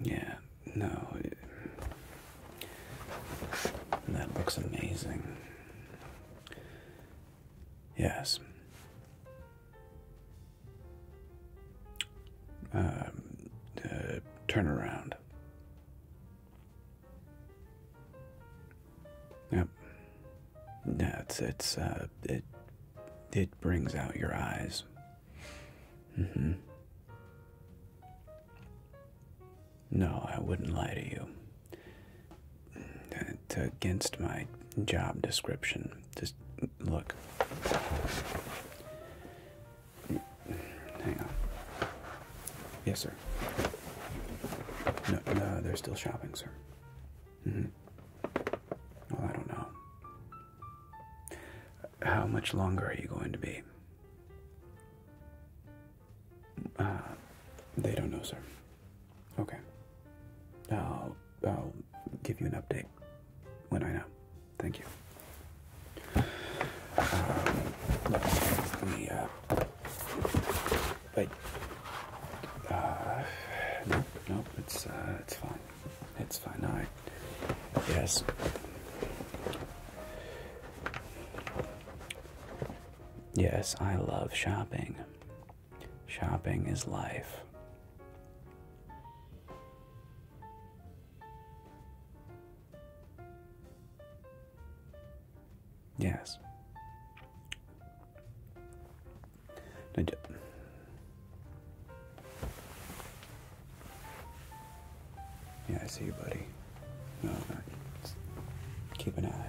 Yeah, no. that looks amazing. Yes. Um, uh, turn around. Yep. Yeah, it's uh, it it brings out your eyes. Mm-hmm. No, I wouldn't lie to you. against my job description. Just look. Hang on. Yes, sir. No, they're still shopping, sir. hmm. Well, I don't know. How much longer are you going to be? Uh, they don't know, sir. Okay. I'll, give you an update when I know. Thank you. Um, look, we, no, no, it's, uh, it's fine. It's fine. All right. Yes. Yes, I love shopping. Shopping is life. Yes. No, yeah, I see you, buddy. no keep an eye.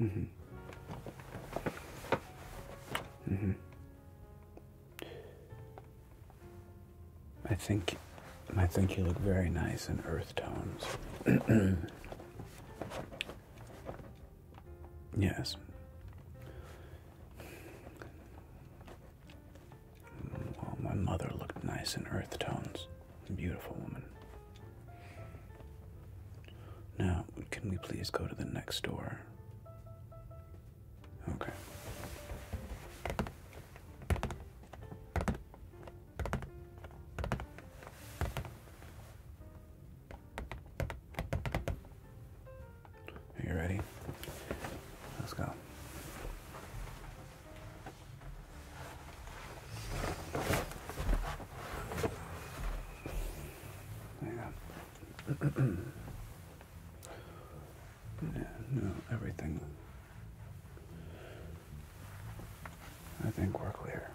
Mm-hmm. Mm-hmm. I think I think you look very nice in earth tones. yes. Well, my mother looked nice in earth tones. Beautiful woman. Now, can we please go to the next door? Okay. Are you ready? Let's go. Yeah. yeah, no, everything. I think we're clear.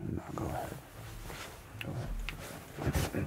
And now go Go ahead.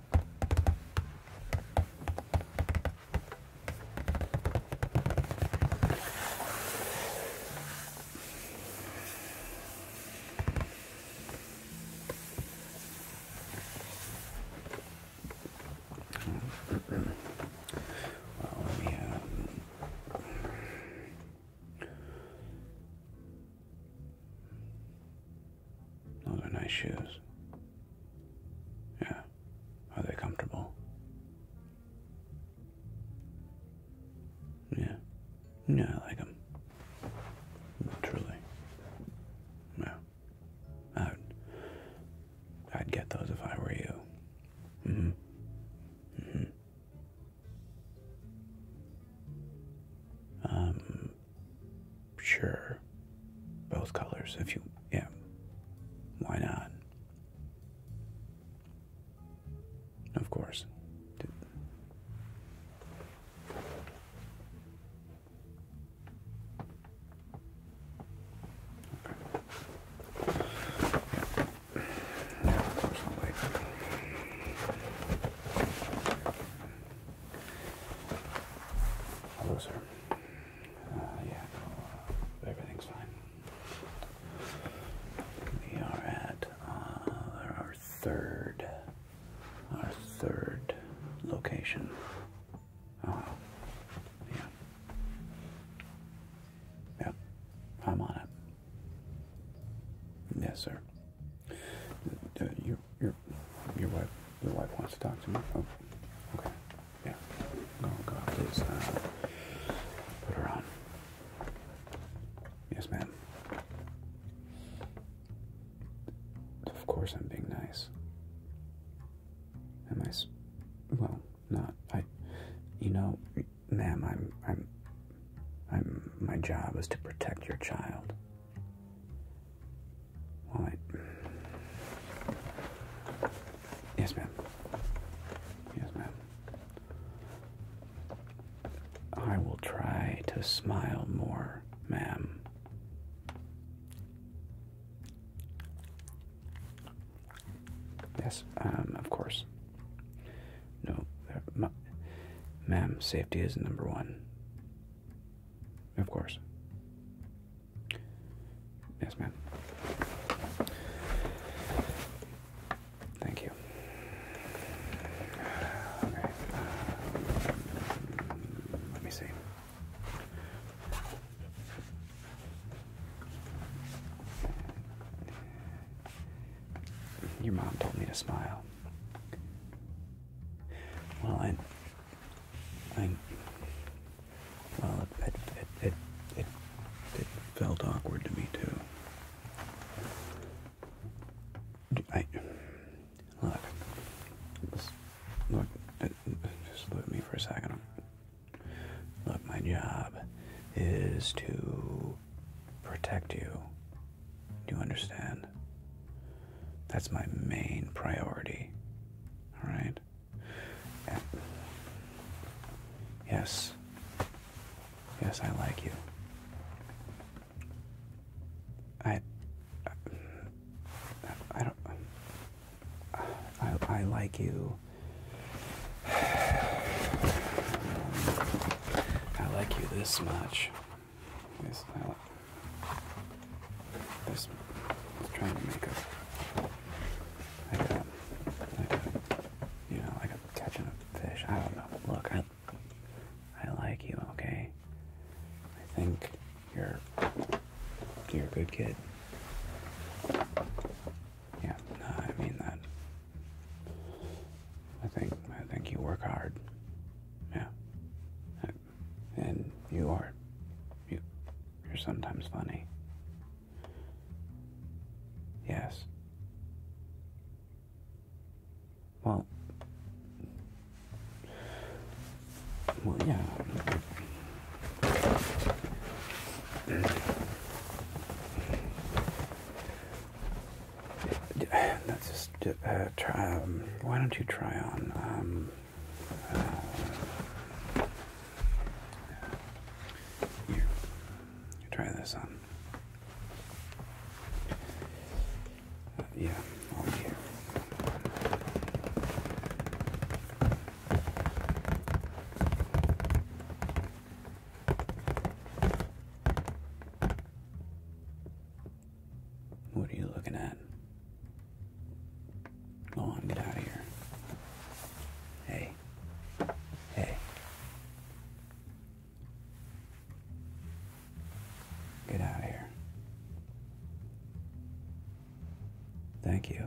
well, let me have. Those are nice shoes. Yeah. Are they comfortable? Yeah. Yeah, I like them. Truly. Yeah. I'd, I'd get those if I were you. Mm-hmm. Mm-hmm. Um, Sure. Both colors, if you. Yeah. Why not? Of course. Hello, sir. Uh, yeah, everything's fine. We are at uh, our third, our third location. Oh, yeah. Yep, I'm on it. Yes, sir. Uh, you your your wife your wife wants to talk to me. Oh, okay. Yeah. Go go please. Uh, put her on. Yes, ma'am. Of course, I'm being nice. Am I? Well, not I. You know, ma'am, I'm I'm I'm. My job is to protect your child. All right. Yes, ma'am. Yes, ma'am. I will try to smile more, ma'am. Yes, um, of course. No, ma'am, safety is number one. Of course. Yes, ma'am. Thank you. Uh, let me see. Your mom told me to smile. Well, I I well, it, it, it, it, it felt awkward to me too. I look, look, just look at me for a second. Look, my job is to protect you. Do you understand? That's my main priority. All right yes. Yes, I like you. I, I, don't. I, I like you. I like you this much. Just trying to make up. I got, I got, you know, I got catching a fish. I don't know. Look, I, I like you, okay? I think you're, you're a good kid. Yeah, I mean that. I think, I think you work hard. Yeah and you are you you're sometimes funny. Yes. Well, well, yeah. That's just uh, try. Um, why don't you try on? Um, try this on. Uh, yeah, What are you looking at? Go on, get out of here. Hey. Hey. Get out of here. Thank you.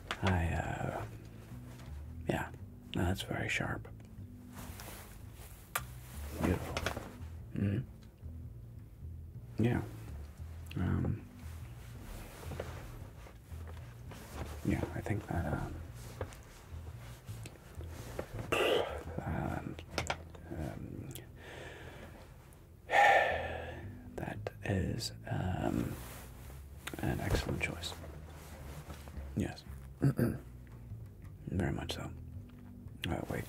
I, uh, yeah, that's very sharp. Beautiful. -hmm. Yeah. Um, yeah, I think that, um, um that is, um, an excellent choice. Yes. Very much so. Uh, wait.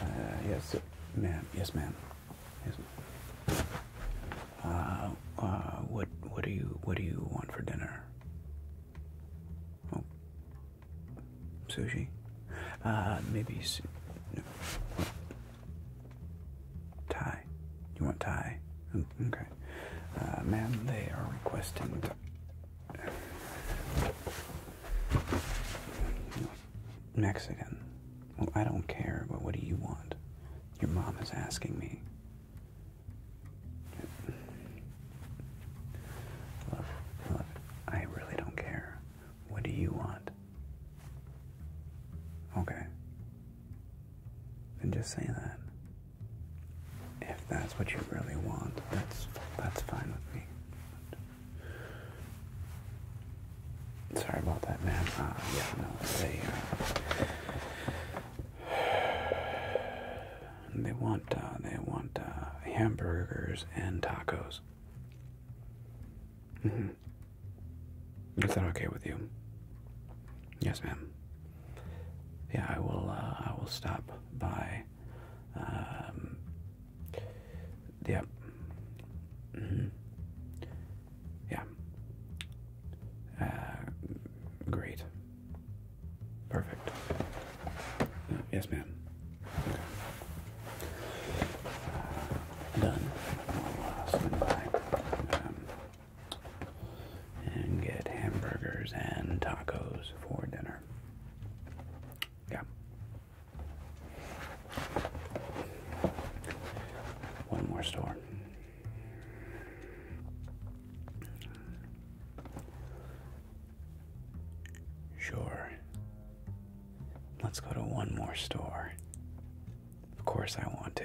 Uh, yes, ma'am. Yes, ma'am. Yes, ma'am. Uh, uh, what, what do you, what do you want for dinner? Oh, sushi. Uh, maybe. Su Thai. You want tie? Mm, okay. Uh, they are requesting. Mexican. Well, I don't care, but what do you want? Your mom is asking me. I really don't care. What do you want? Okay. Then just say that. If that's what you really want, that's that's fine with me. Sorry about that, man. Uh, yeah, no, they uh, they want uh, they want hamburgers and tacos. Mm-hmm. Is that okay with you? Yes, ma'am. Yeah, I will. Uh, I will stop by. yep. Um, yeah. Mm-hmm. Uh, great. Perfect. yes, ma'am. Uh, done and get hamburgers and tacos for dinner. Yeah. One more store. Sure. Let's go to one more store. Of course, I want to.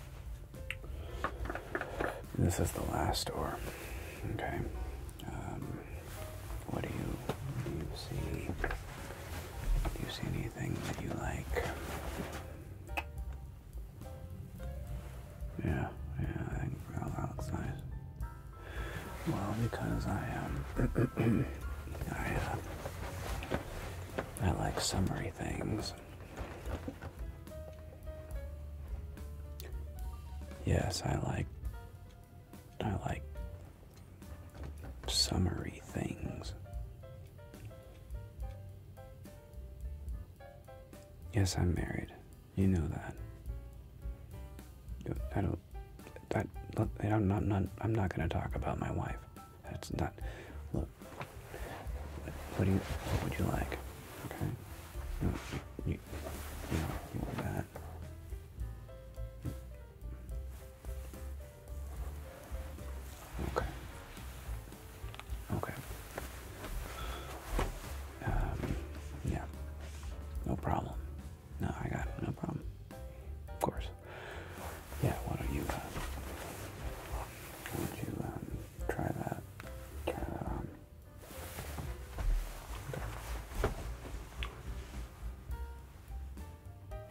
This is the last door. Okay. Um, what do you see? Do you see anything that you like? Yeah, yeah, I think that looks nice. Well, because I am, um, I, uh, I like summery things. Yes, I like I like summary things. Yes, I'm married. You know that. I don't. That. I'm not. that I'm not going to talk about my wife. That's not. Look. What, do you? What would you like? Okay. you, you, know, that. Okay. Okay. Um, yeah. No problem. No, I got No problem. Of course yeah, why don't you, uh, why don't you um, try that,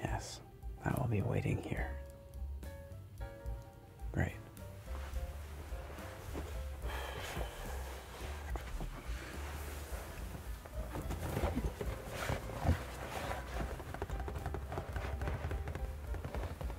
Yes, I will be waiting here. Great.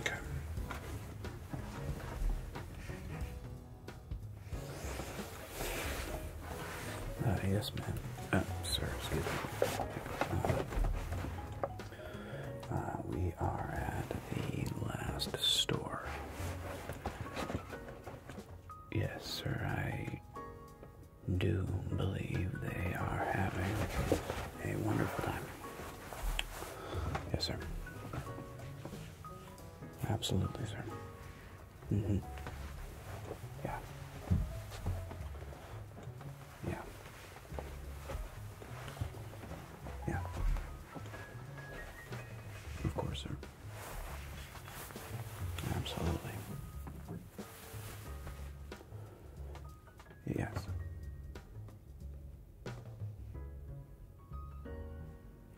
Okay. Uh, yes, ma'am. Oh, sir, excuse me. Uh, uh, we are at the last store. Yes, sir, I do believe they are having a wonderful time. Yes, sir. Absolutely, sir. Mm-hmm. Yeah. Yeah. Yeah. Of course, sir. Absolutely. Yes.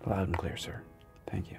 Loud and clear, sir. Thank you.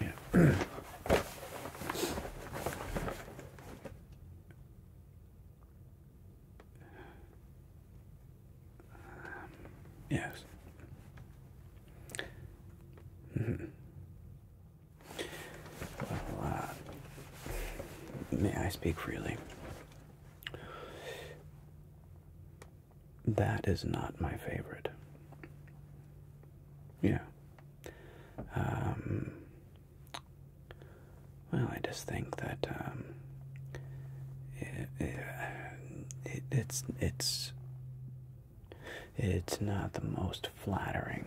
Yeah. yes. Mm-hmm. Well, uh, may I speak freely? That is not my favorite. Yeah. Um, well, I just think that um, it, it, it's it's it's not the most flattering.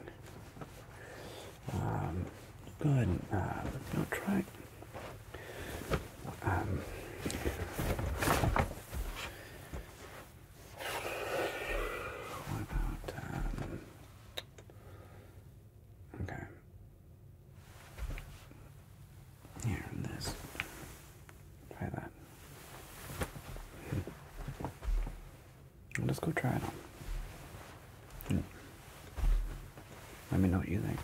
Um, go ahead and try. Um, okay. Here, this. Try that. Hmm. Let's go try it on. Hmm. Let me know what you think.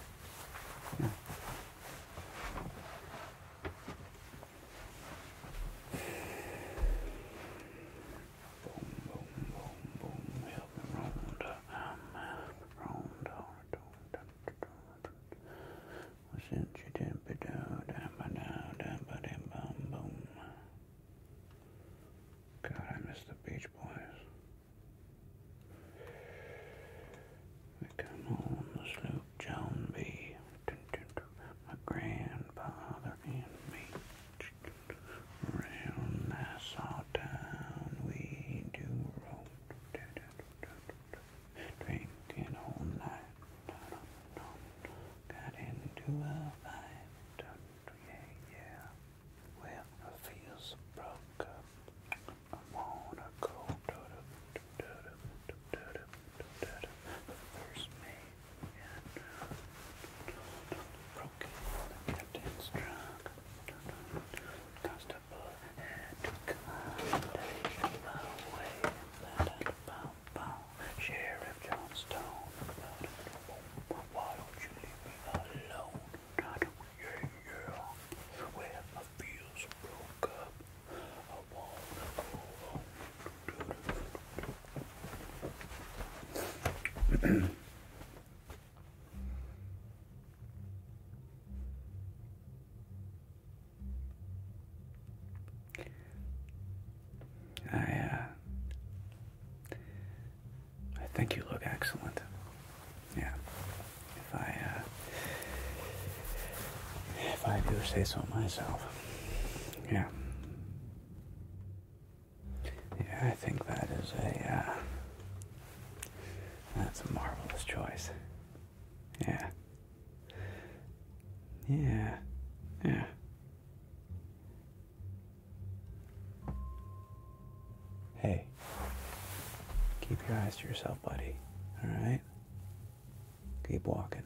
Boom, boom, boom, boom. Help me round, round, round. Since you didn't be down, down, down, down, down, boom, boom. God, I miss the Beach Boys. We come on the sloop John B. My grandfather and me. Around Nassau town we do roam. Drinking all night. Got into a fight. Yeah, yeah. Well, I feel so broke up. I wanna go. First, me broken, the captain's constable had to come, and bow, bow, Sheriff Johnstone, why don't you leave me alone, yeah, yeah, when my feels broke up, I wanna go I, uh, I think you look excellent. Yeah. If I, uh, if I do say so myself. Yeah. Yeah, I think that is a, uh, that's a marvelous choice. Yeah. Yeah. Yeah. Hey. Keep your eyes to yourself, buddy. All right? Keep walking.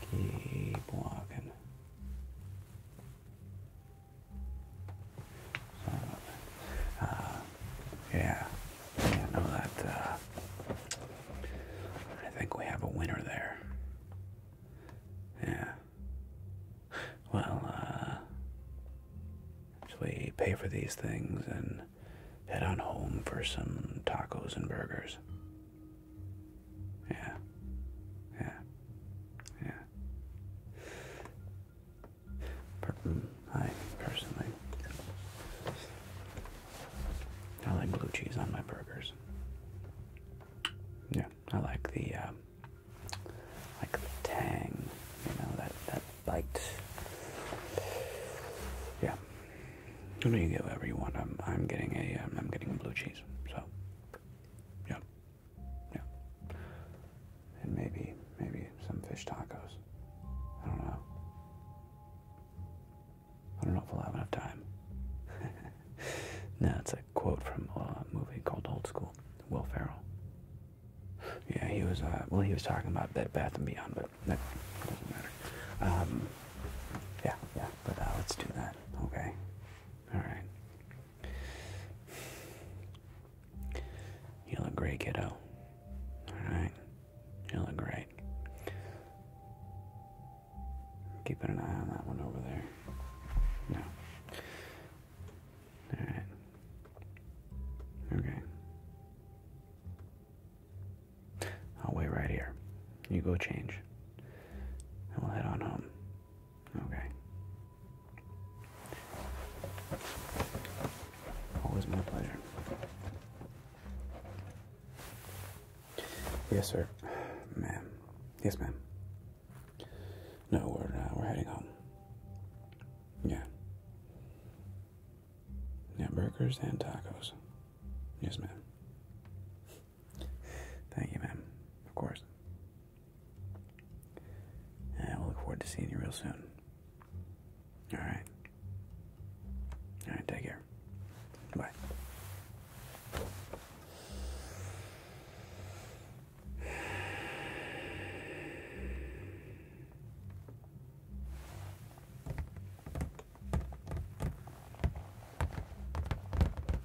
Keep walking. So, uh, yeah, I know that. Uh, I think we have a winner there. Yeah. Well, uh, we pay for these things and head on home for some tacos and burgers. Yeah. Yeah. Yeah. Per mm, I personally I like blue cheese on my burgers. Yeah, I like the um, like tang, you know that that bite. Yeah, you no, you get whatever you want. I'm, I'm getting a, am um, getting blue cheese. So, yeah, yeah, and maybe, maybe some fish tacos. I don't know. I don't know if we'll have enough time. no, it's a quote from a movie called Old School. Will Ferrell. Yeah, he was. Uh, well, he was talking about Bed Bath and Beyond, but that doesn't matter. Um, yeah, yeah but uh, let's do that. Okay. All right. You look great, kiddo. All right. You look great. Keeping an eye on that one over there. No. All right. Okay. I'll wait right here. You go change. And we'll head on home. Okay. Always my pleasure. Yes, sir. Ma'am. Yes, ma'am. No, we're uh, we're heading home. Yeah. Yeah, burgers and tacos. Yes, ma'am. Thank you, ma'am. Of course. And we'll look forward to seeing you real soon. Alright. Alright, take care. Bye.